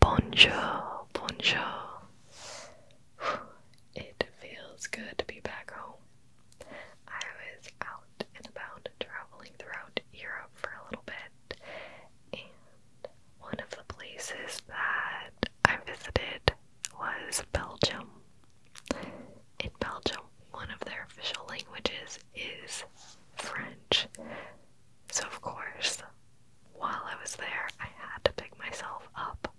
Bonjour, bonjour. It feels good to be back home. I was out and about traveling throughout Europe for a little bit, and one of the places that I visited was Belgium. In Belgium, one of their official languages is French. So, of course, while I was there, I had to pick myself up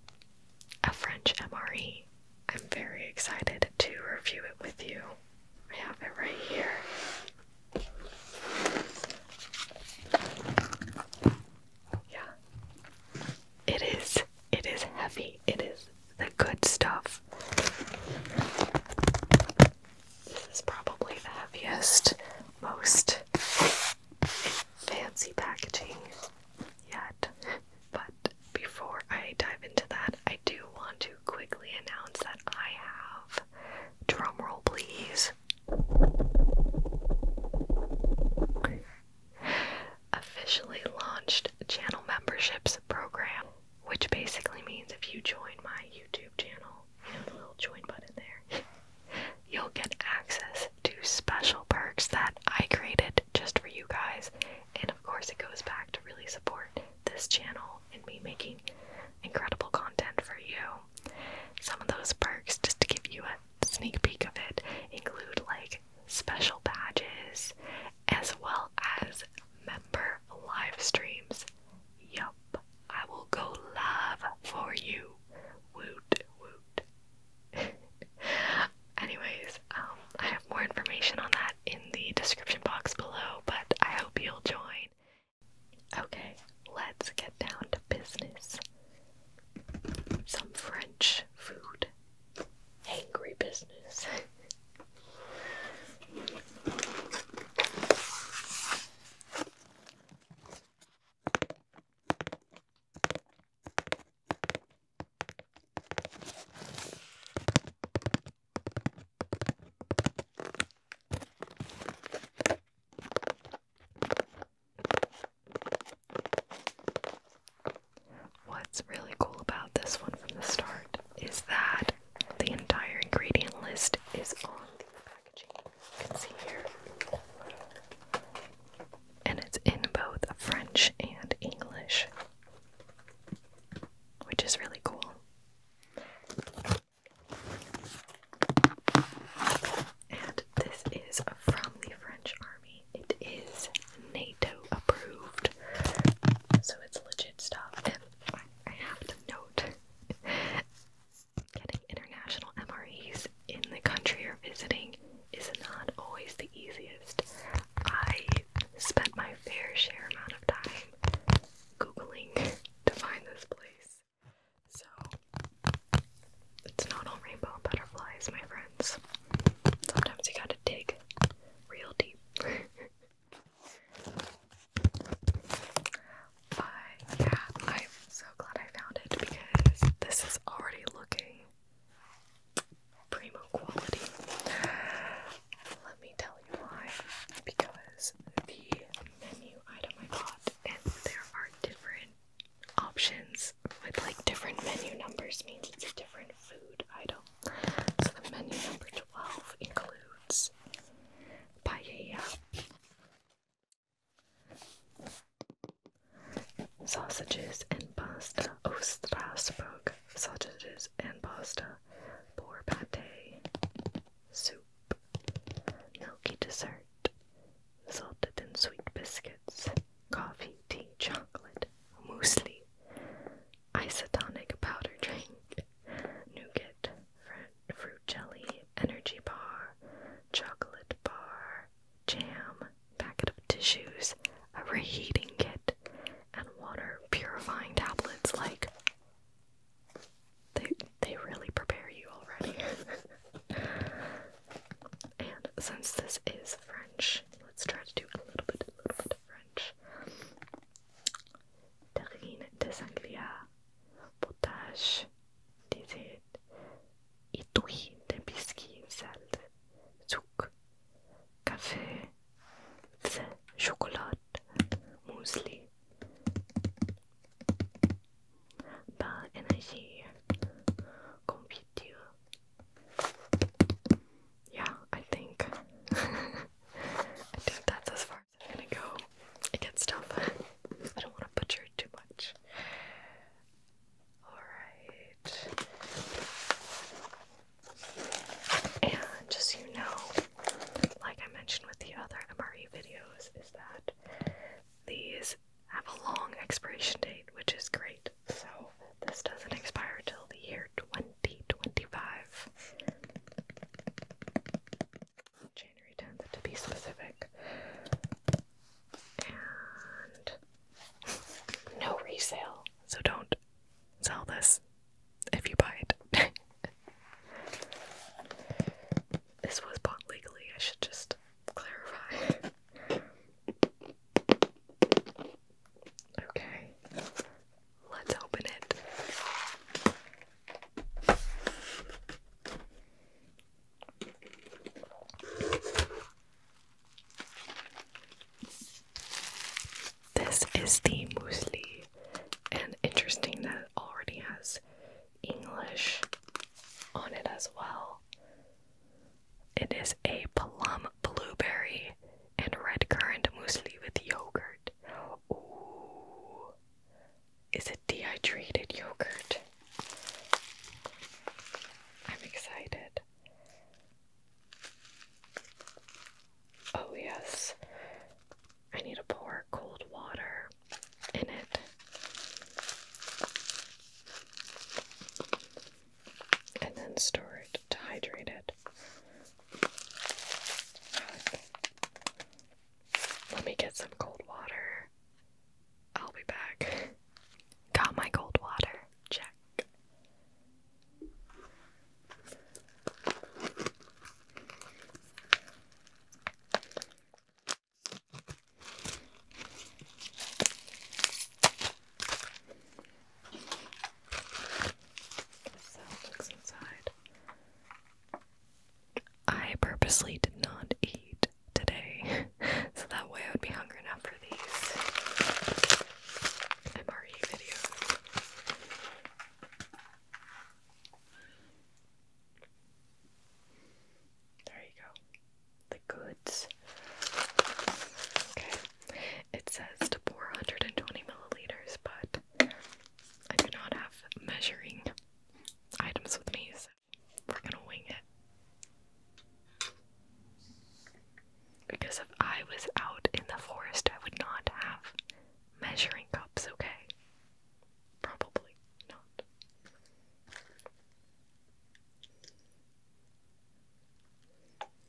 a French MRE. I'm very excited to review it with you. I have it right here. Yeah. It is it is heavy. It is the good stuff. This is probably the heaviest, most fancy packaging yet. But before I dive into that, I do want to quickly announce that I have drum roll please officially launched channel memberships program which basically means if you join my YouTube channel, you the little join button there, you'll get access to special perks that I created just for you guys. And of course, it goes back to really support this channel and me making incredible content for you. Some of those perks, just to give you a sneak peek of it, include like special badges as well as member live streams Yup, I will go live for you. Woot woot. Anyways, um, I have more information on that in the description box below, but I hope you'll join. Okay, let's get down to business. Some French food. Angry business. What's really cool about this one from the start is that the entire ingredient list is on the packaging. You can see here. And it's in both French and English, which is really cool. And this is from the French army. It is NATO approved, so it's legit stuff. I have to note Getting international MREs in the country you're visiting is not always the easiest. I spent my fair share amount of time Googling to find this place. So, it's not all rainbow butterflies, my friends. Sometimes you gotta dig real deep. But yeah, I'm so glad I found it because this is already looking primo quality. Let me tell you why. Because the menu item I bought, and there are different options with like different menu numbers, means it's a different food item. So the menu number 12 includes Piaia, sausages and pasta oh sausages and pasta porpate, soup milky dessert salted and sweet biscuits coffee tea chocolate muesli isotonic powder drink, nougat, fruit, jelly, energy bar, chocolate bar, jam, packet of tissues, a reheating kit, and water purifying tablets. Like, they, they really prepare you already. and since this is French, let's try to do a little bit, a little bit of French terrine de sangria, potage, dessert, étui de biscuits, salt, sucre, café, thé, chocolat, muesli, bain energie, confiture. Yeah, I think I think that's as far I'm gonna go get stuff. I don't want to butcher it too much. Alright. And just you know, like I mentioned with the other MRE videos, is that these have a long expiration date, which is great. So this doesn't expire till the year 2025. January 10th, to be specific. And no resale, so don't sell this if you buy it. this was bought legally, I should just clarify. Okay. Let's open it. This is the muesli, and interesting that it already has English on it as well. It is a plum blueberry and red currant muesli with yogurt. Is it dehydrated yogurt? I'm excited. Oh, yes. I need to pour cold water in it. And then store it to hydrate it. Let me get some cold water. I'll be back. Got my cold water. Check. I purposely did not eat today, so that way I would be hungry enough for these MRE videos. There you go. The goods. Okay. It says to pour 120 milliliters, but I do not have measuring items with me, so we're gonna wing it. Because if I was out in the forest, I would not have measuring cups, okay? Probably not.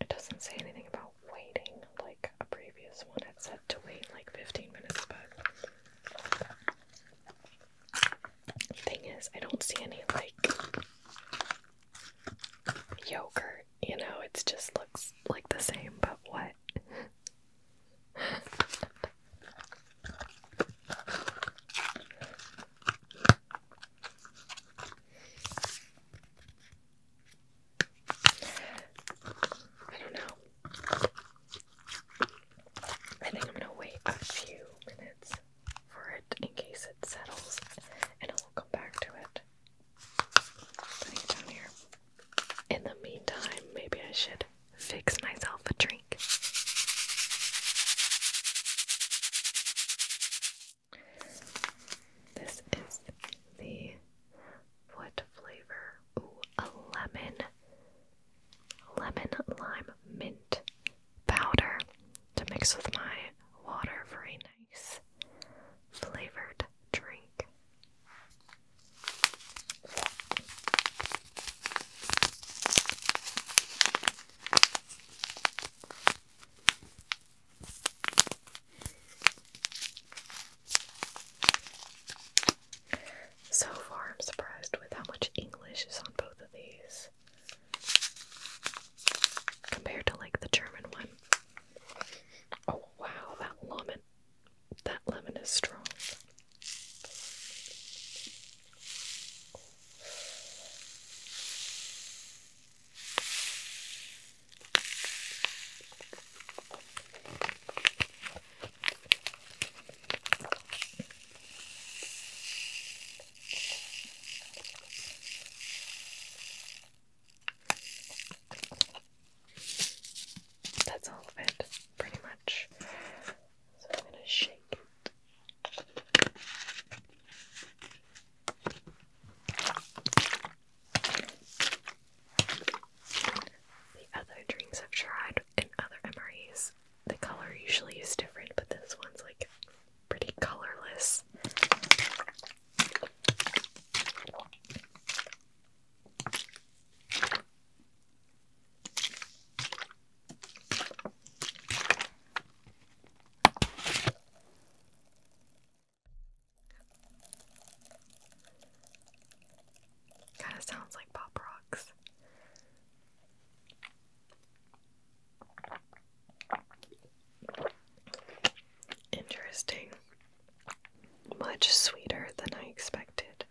it doesn't say anything about waiting like a previous one had said to wait like 15 minutes, but thing is, I don't see any like yogurt, you know, it just looks like the same, but what? I don't know. I think I'm gonna wait a few minutes for it in case it settles and I will come back to it. In the meantime, maybe I should fix myself a drink. This is the what flavor? a lemon, lemon lime mint powder to mix with my water for a nice flavored drink. So far, I'm surprised with how much English is on both of these compared to like the German one. Oh wow, that lemon, that lemon is strong. That's all of it, pretty much. So I'm going to shake it the other drinks I've tried in other MRAs, the color usually is different, but this one's like pretty colorless. Kind of sounds like pop rocks. Interesting. Much sweeter than I expected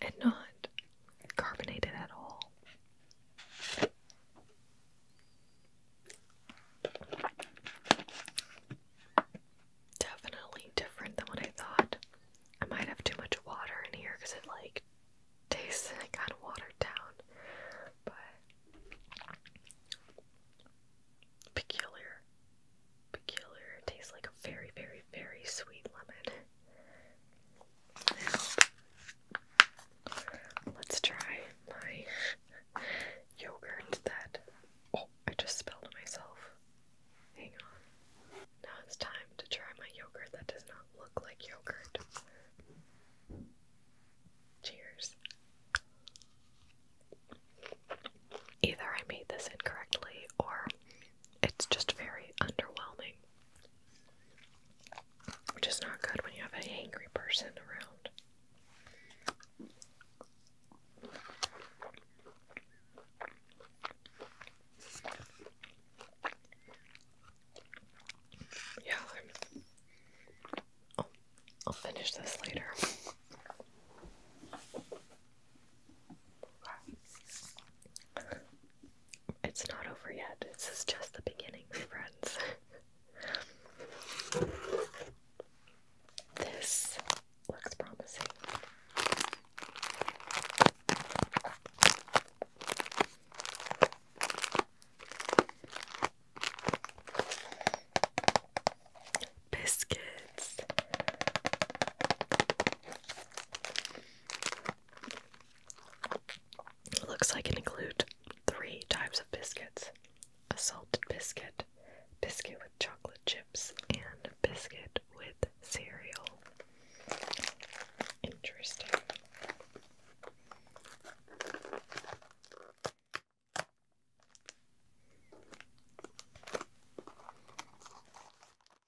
and not carbonated at all. Definitely different than what I thought. I might have too much water in here because it like tastes kind of watered down, but peculiar peculiar. It tastes like a very, very, very sweet lemon. let's try my yogurt that. Oh, I just spelled myself. Hang on. Now it's time to try my yogurt that does not look like yogurt. Cheers. Either I made this incorrectly or it's just very underwhelming. Which is not good when you have a angry person around. Yeah, oh, I'll finish this later. It's not over yet. This is just the beginning, friends. this looks promising. Biscuits. It looks like it includes three types of biscuits a salted biscuit, biscuit with chocolate chips, and biscuit with cereal. Interesting.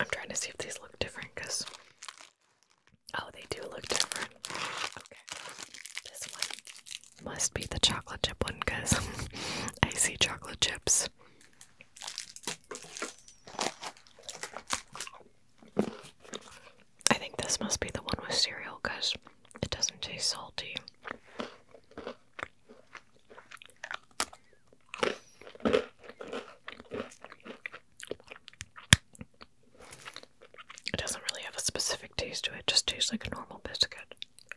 I'm trying to see if these look different because oh, they do look different. Okay, this one must be the chocolate chip one because I see chocolate chips. I think this must be the one with cereal because it doesn't taste salty. It doesn't really have a specific taste to it, just tastes like a normal biscuit.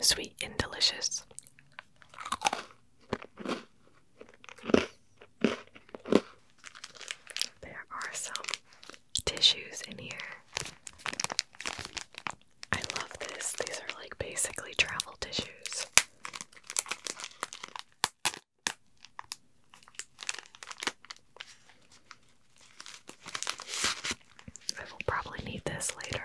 Sweet and delicious. There are some tissues in here. I love this. These are like basically travel tissues. I will probably need this later.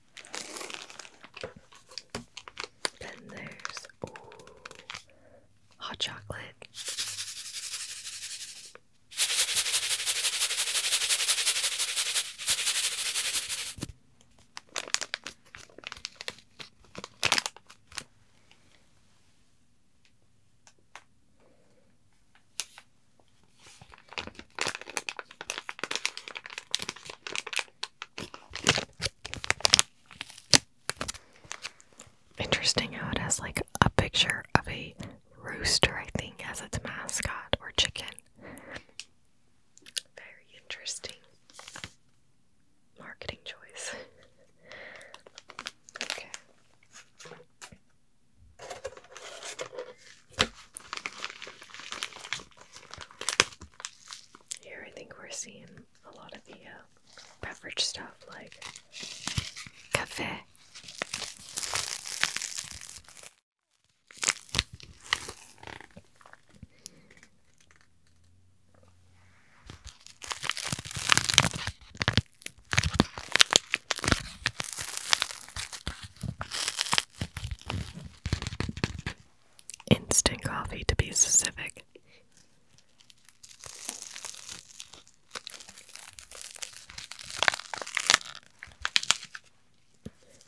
Then there's ooh, hot chocolate. Interesting how it has like a picture of a rooster, I think, as its mascot or chicken. Very interesting marketing choice. okay. Here, I think we're seeing a lot of the uh, beverage stuff like cafe. Instant coffee, to be specific.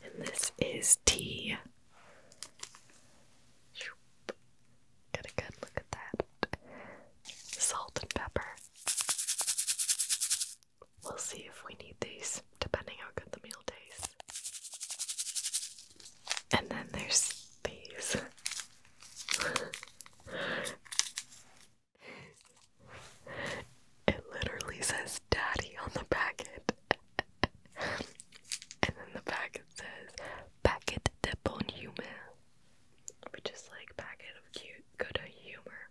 And this is tea. Get a good look at that. Salt and pepper. We'll see if we need these, depending how good the meal tastes. And then there's these. it literally says daddy on the packet. and then the packet says packet de bon humeur. Which is like packet of cute good humor.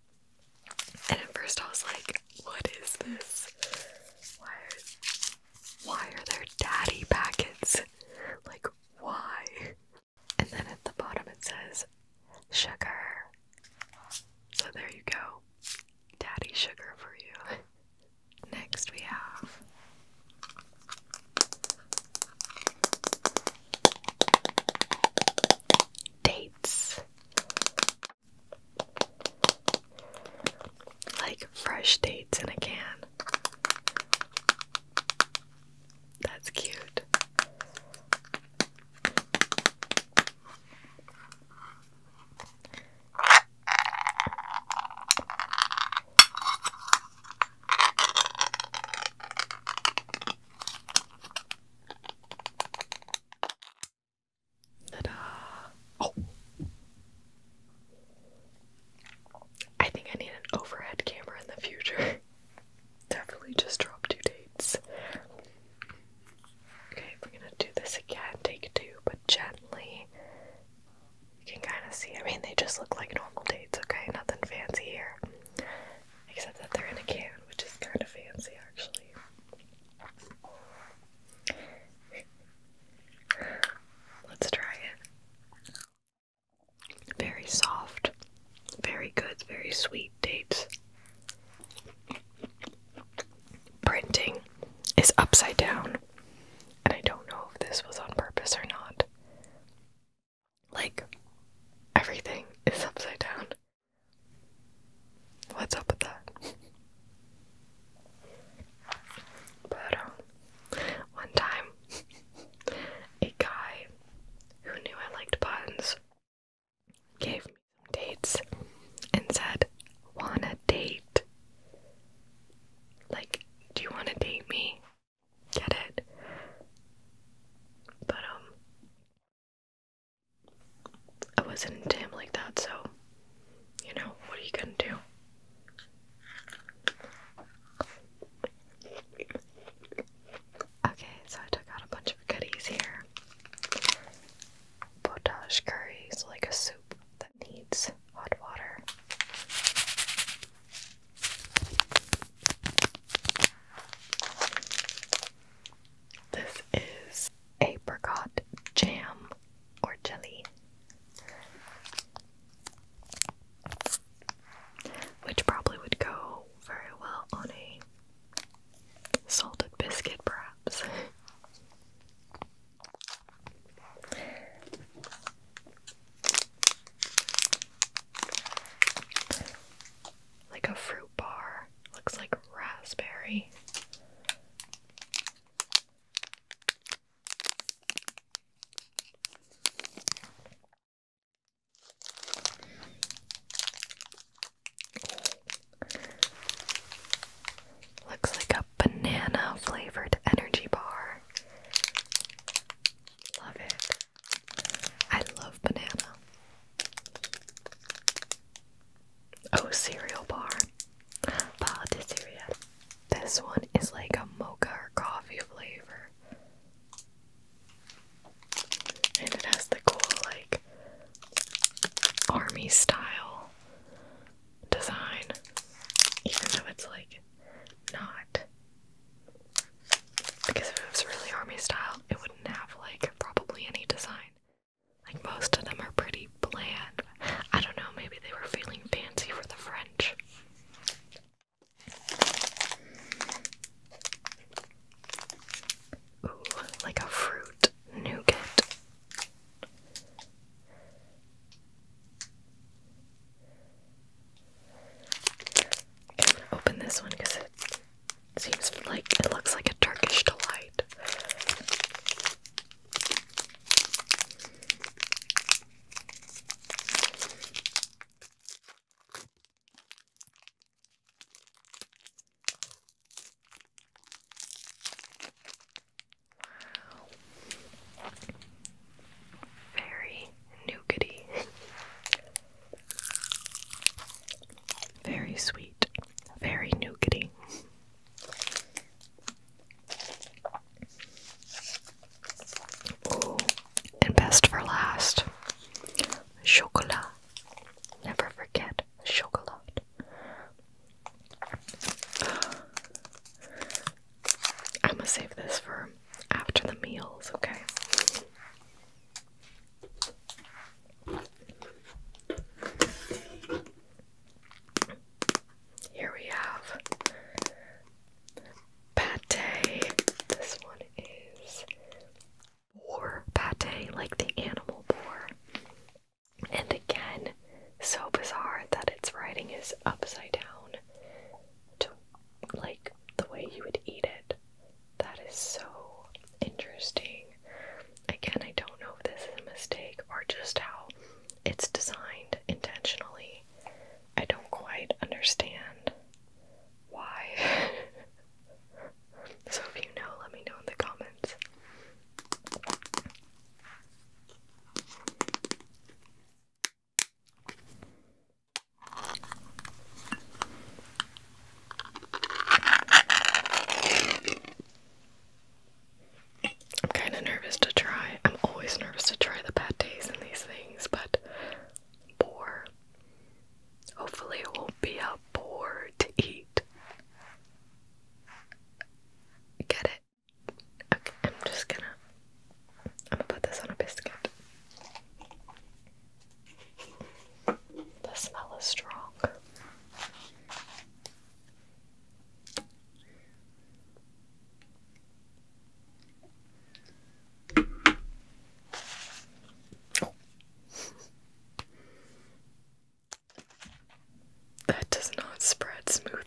And at first I was like, what is this? Why is why are there daddy packets? Like, why? And then at the bottom it says sugar. So there you go. Daddy sugar for you. Next we have dates. Like fresh dates in a can. That's cute. Oh. I think I need an overhead camera in the future. Definitely just drop two dates. Okay, we're gonna do this again, take two, but gently. You can kind of see, I mean, they just look like normal dates, okay? Nothing fancy here. Except that they're in a can, which is kind of fancy actually. Let's try it. Very soft, very good, very sweet dates. Printing is upside down, and I don't know if this was on purpose or not. Like, everything is upside down what's up with that? but um, one time, a guy who knew I liked puns gave me some dates and said, "Wanna date? Like, do you wanna date me? Get it?" But um, I wasn't into him like that, so you know, what are you gonna do? Okay, so I took out a bunch of goodies here. Potage curry, is like a soup that needs hot water. This is apricot jam or jelly, which probably would go very well on a salted biscuit, perhaps. Like a fruit bar, looks like raspberry. Looks like a banana flavored energy bar. Love it. I love banana. Oh, cereal bar. Patisserie. This one is like a mocha or coffee flavor. And it has the cool, like, army style design. Even though it's like not. Because if it was really army style, it wouldn't have like probably any design. Like most of them are pretty bland. I don't know, maybe they were feeling fancy for the French. Ooh, like a fruit nougat. I'm gonna open this one because it seems like it looks like a Turkish delight. Very nougaty. Very sweet. Very nougaty and best for last, chocolat. Never forget chocolat. I'm gonna save this for after the meals, okay? Here we have pate. This one is boar pate, like the animal boar. And again, so bizarre that its writing is upside down like the way you would eat it. That is so interesting. Again, I don't know if this is a mistake or just how it's designed intentionally. I don't quite understand why. so if you know, let me know in the comments. I'm kind of nervous to try. I'm always nervous to try the pates and these things, but bore. Hopefully, it won't be a bore to eat. Get it? Okay, I'm just gonna. I'm gonna put this on a biscuit. The smell is strong that does not spread smoothly,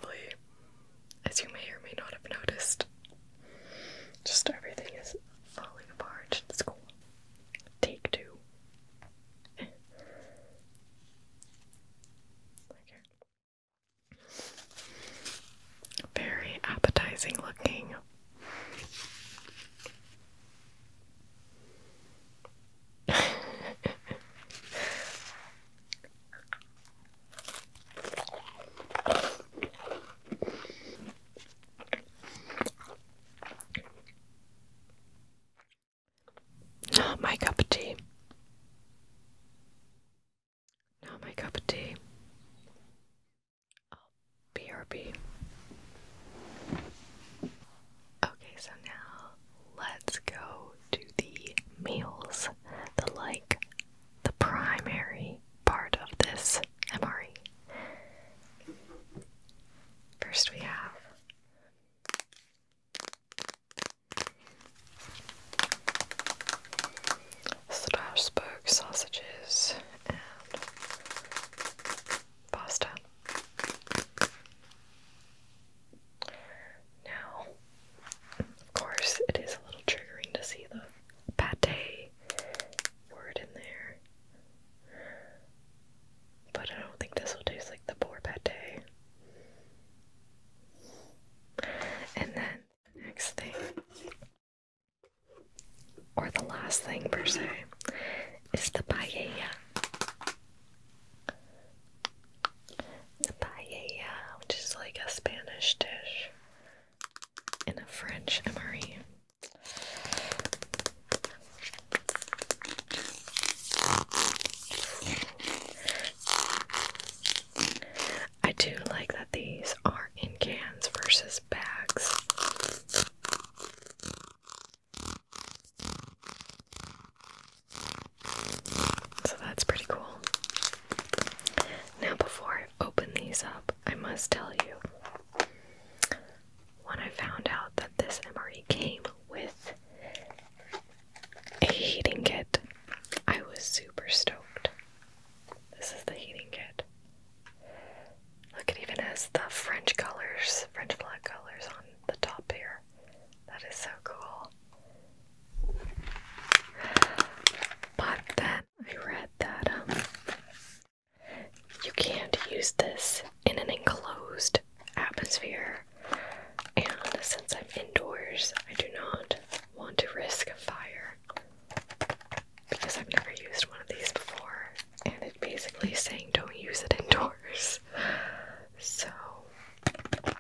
as you may or may not have noticed. Just everything is falling apart. It's cool. Take two. Very appetizing looking. Not my cup of tea. Not my cup of tea. Oh, BRB. Okay, so now let's go to the meals, the like, the primary part of this MRE. First, we have Strasbourg sausages and pasta. Now, of course, it is a little triggering to see the pate word in there. But I don't think this will taste like the boar pate. And then next thing, or the last thing per se, is the paella. The paella, which is like a Spanish dish in a French emery. I do like that these are in cans versus bags. So that's pretty cool. Now, before I open these up, I must tell you when I found out that this MRE came with a heating kit, I was super stoked. This is the heating kit. Look, it even has the French colors, French flag colors on the top here. That is so cool. But then I read that um, you can't use this in an enclosed atmosphere. And since I'm indoors, I do not want to risk a fire because I've never used one of these before. And it's basically saying don't use it indoors. So I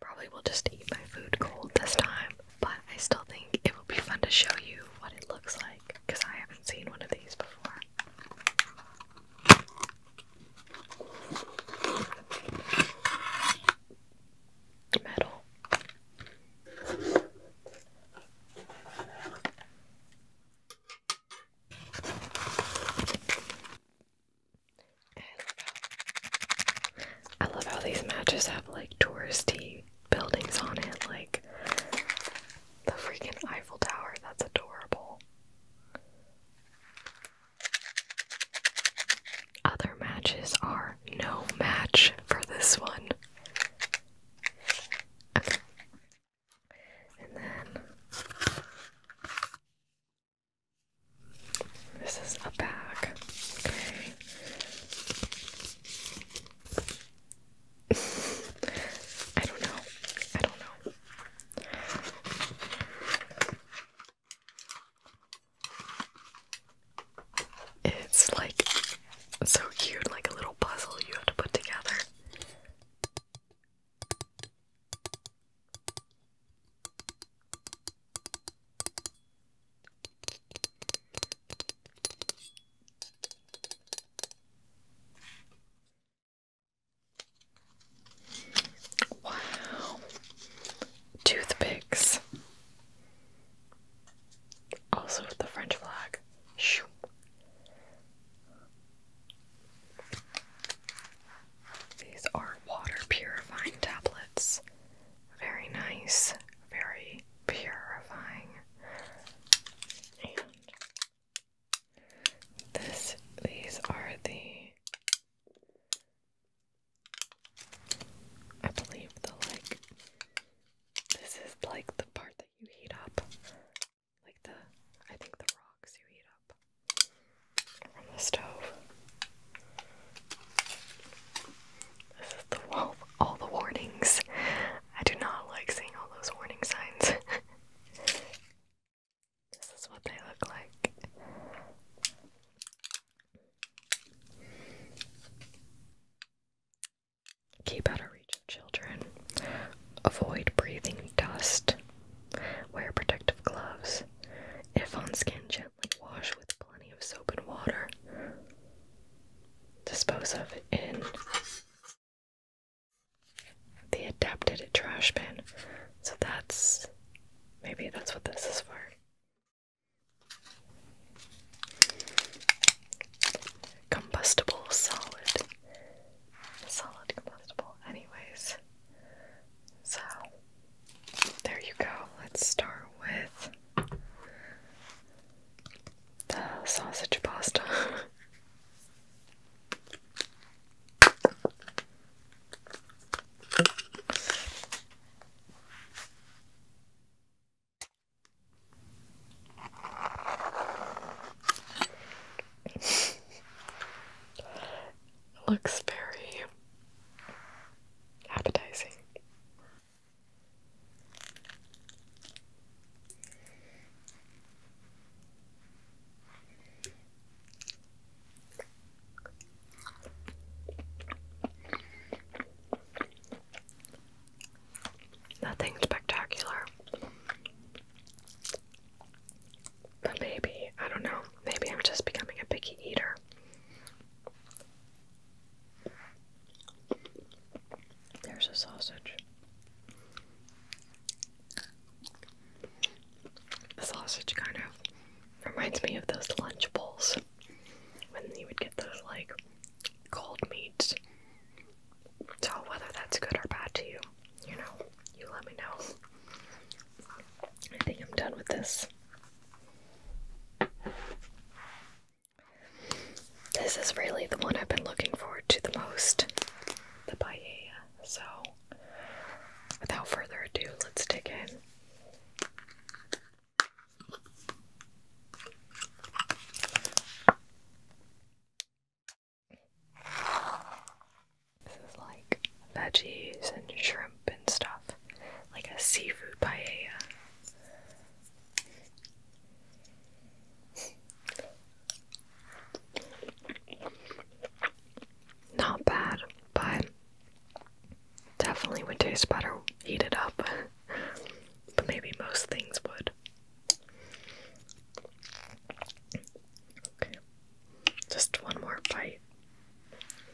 probably will just eat my food cold this time, but I still think it will be fun to show you what it looks like because I haven't seen one of these before. Metal. I love, how, I love how these matches have like touristy buildings on it, like the freaking Eiffel Tower. That's adorable. Other matches are no match for this one. And then this is a bag. Okay. I don't know. I don't know. It's like so cute, like a little puzzle you have to put together. Wow. Toothpicks. Also with the French flag. These are water purifying tablets. Very nice, very purifying. And this these are the I believe the like this is like the part that you heat up. Like the I think the rocks you heat up from the stove. This is the wall all the warnings. I do not like seeing all those warning signs. This is what they look like. Keep out of reach of children. Avoid breathing dust. Wear protective gloves. If on skin, gently wash with plenty of soap and water. Dispose of in the adapted trash bin. So that's maybe that's what this is for. Combustible solid. Solid combustible. Anyways. So there you go. Let's start with the sausage pasta. Looks very appetizing. Nothing spectacular. But maybe, I don't know, maybe I'm just becoming a picky eater. There's a sausage. The sausage kind of reminds me of those lunch bowls when you would get those like cold meats. So, whether that's good or bad to you, you know, you let me know. I think I'm done with this. This is really the one I've been looking forward to the most the paella. So, without further ado, let's dig in. This is like veggies and shrimp and stuff, like a seafood paella. Not bad, but definitely would taste better Heat it up. but maybe most things would. Just one more bite.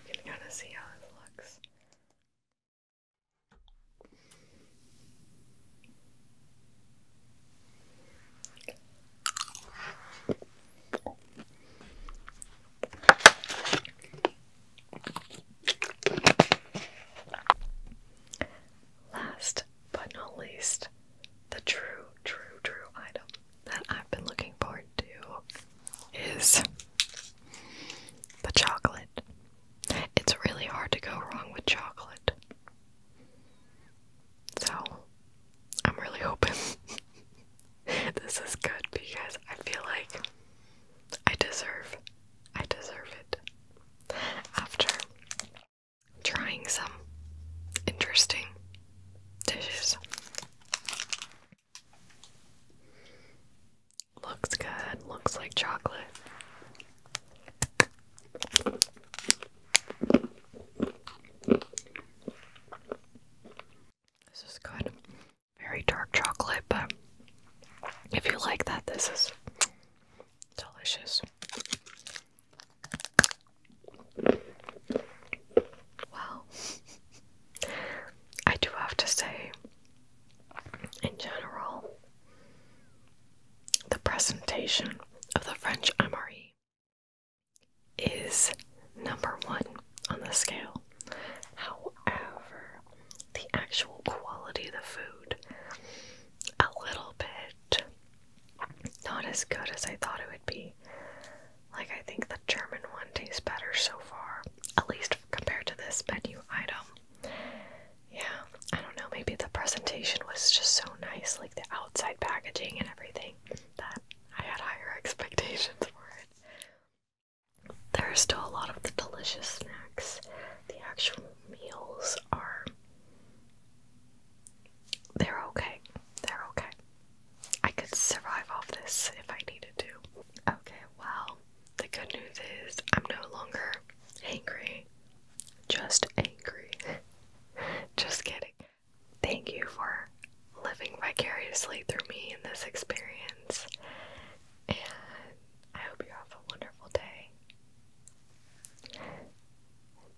You can kind of see how this looks. Last but not least, the true, true, true item that I've been looking forward to is the chocolate. It's really hard to go wrong with chocolate. So, I'm really hoping this is good because I feel like I deserve I deserve it after trying some interesting dishes. Looks good. Looks like chocolate. This is good. Very dark chocolate, but if you like that, this is delicious. Well, I do have to say, in general, the presentation of the French MRE is number one on the scale. However, the actual quality of the food, a little bit not as good as I thought it would be. Like, I think the German one tastes better so far, at least compared to this menu item. Yeah, I don't know. Maybe the presentation was just so nice, like the outside packaging and everything, that I had higher expectations for it. There are still a lot of the delicious snacks. The actual meals are. They're okay. They're okay. I could survive off this if I needed to. Okay, well, the good news is I'm no longer angry just angry. just kidding. Thank you for living vicariously through me in this experience. And I hope you have a wonderful day.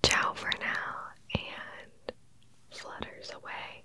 Ciao for now and flutters away.